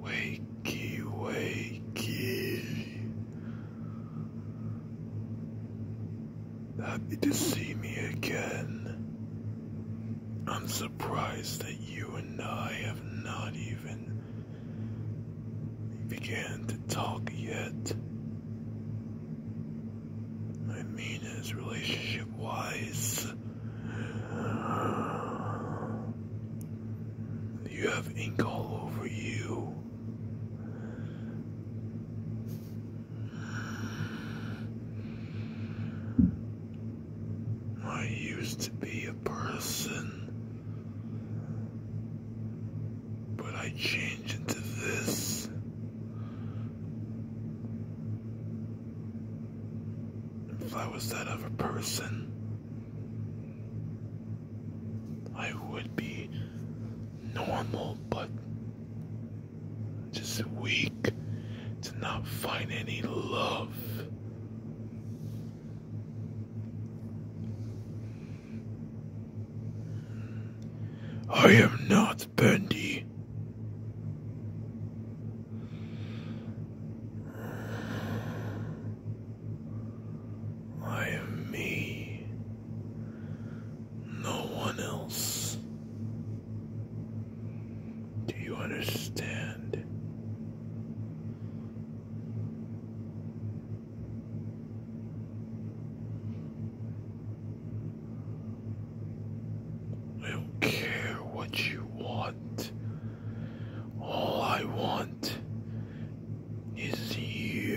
Wakey, wakey. Happy to see me again. I'm surprised that you and I have not even began to talk yet. I mean, as relationship wise, you have ink all over you. I used to be a person, but I changed. If I was that other person, I would be normal, but just weak to not find any love. I am not Bendy. I am me. No one else. Do you understand? I don't care what you want. All I want is you.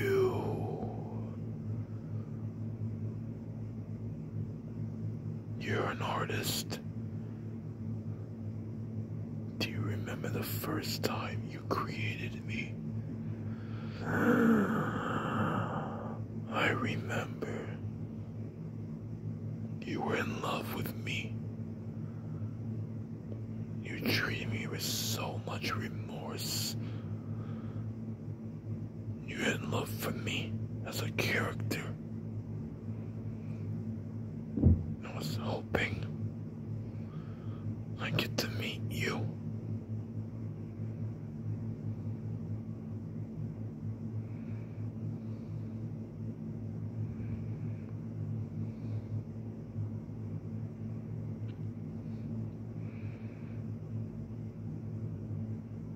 You're an artist. Do you remember the first time you created me. I remember. You were in love with me. You treated me with so much remorse. You had love for me as a character. I was hoping I get to meet you.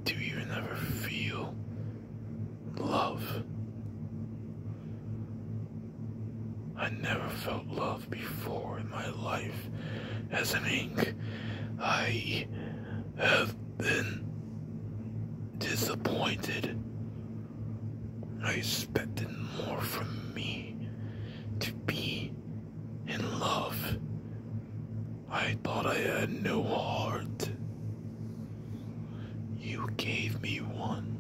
Do you never feel love? I never felt love before in my life as an ink. I have been disappointed. I expected more from me to be in love. I thought I had no heart. You gave me one.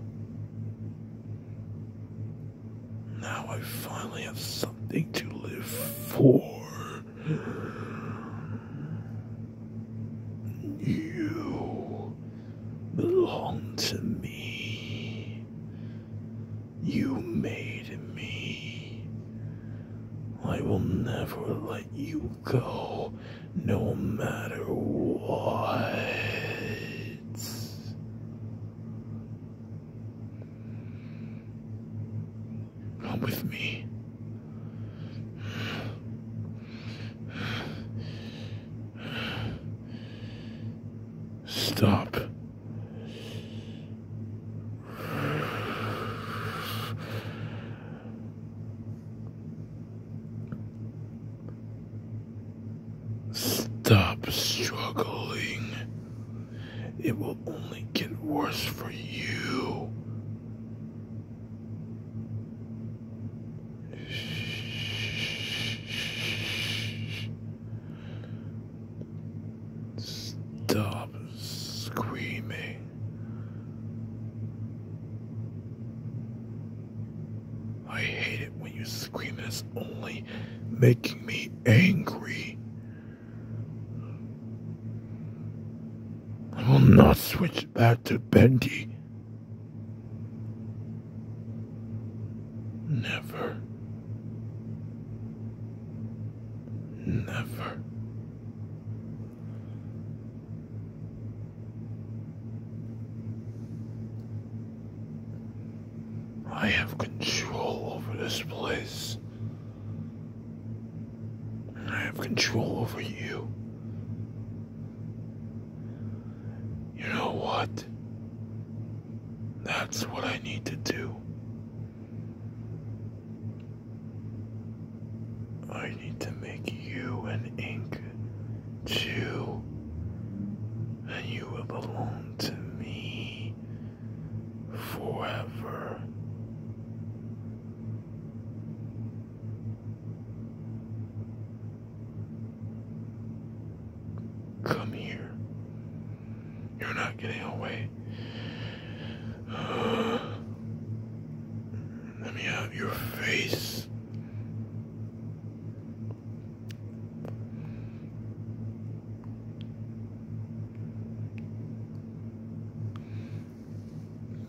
Now I finally have something to live for. You belong to me. You made me. I will never let you go, no matter what. Come with me. Stop. Stop struggling. It will only get worse for you. Stop screaming. I hate it when you scream. It's only making me angry. I will not switch back to Bendy. Never. Never. I have control over this place. I have control over you. You know what? That's what I need to do. I need to make you and Ink chew and you will belong to me forever. Come here. You're not getting away. let me have your face.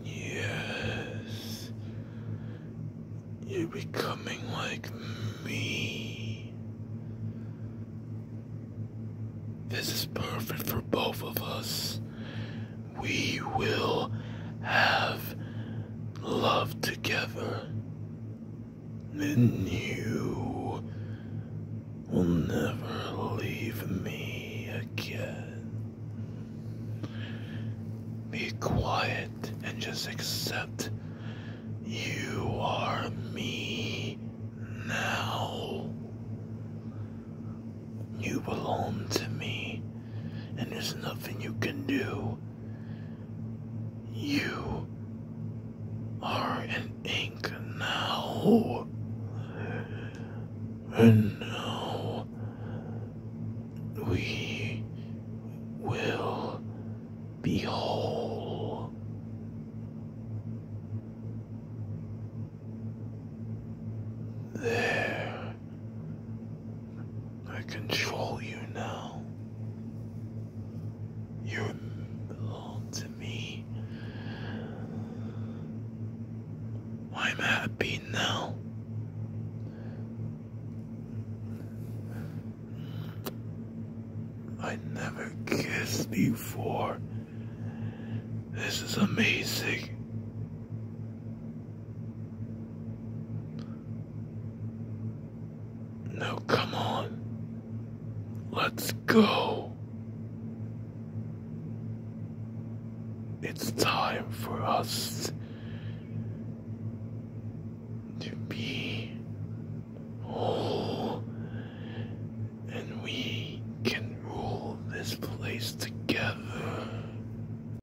Yes, you're becoming like me. This is perfect for both of us. We will have love together, and you will never leave me again. Be quiet and just accept you are me now. You belong to me, and there's nothing you can do. You are in ink now. And now we will behold There I control you now. You belong to me. I'm happy now. I never kissed before. This is amazing. No, come on. Let's go. It's time for us to be whole and we can rule this place together.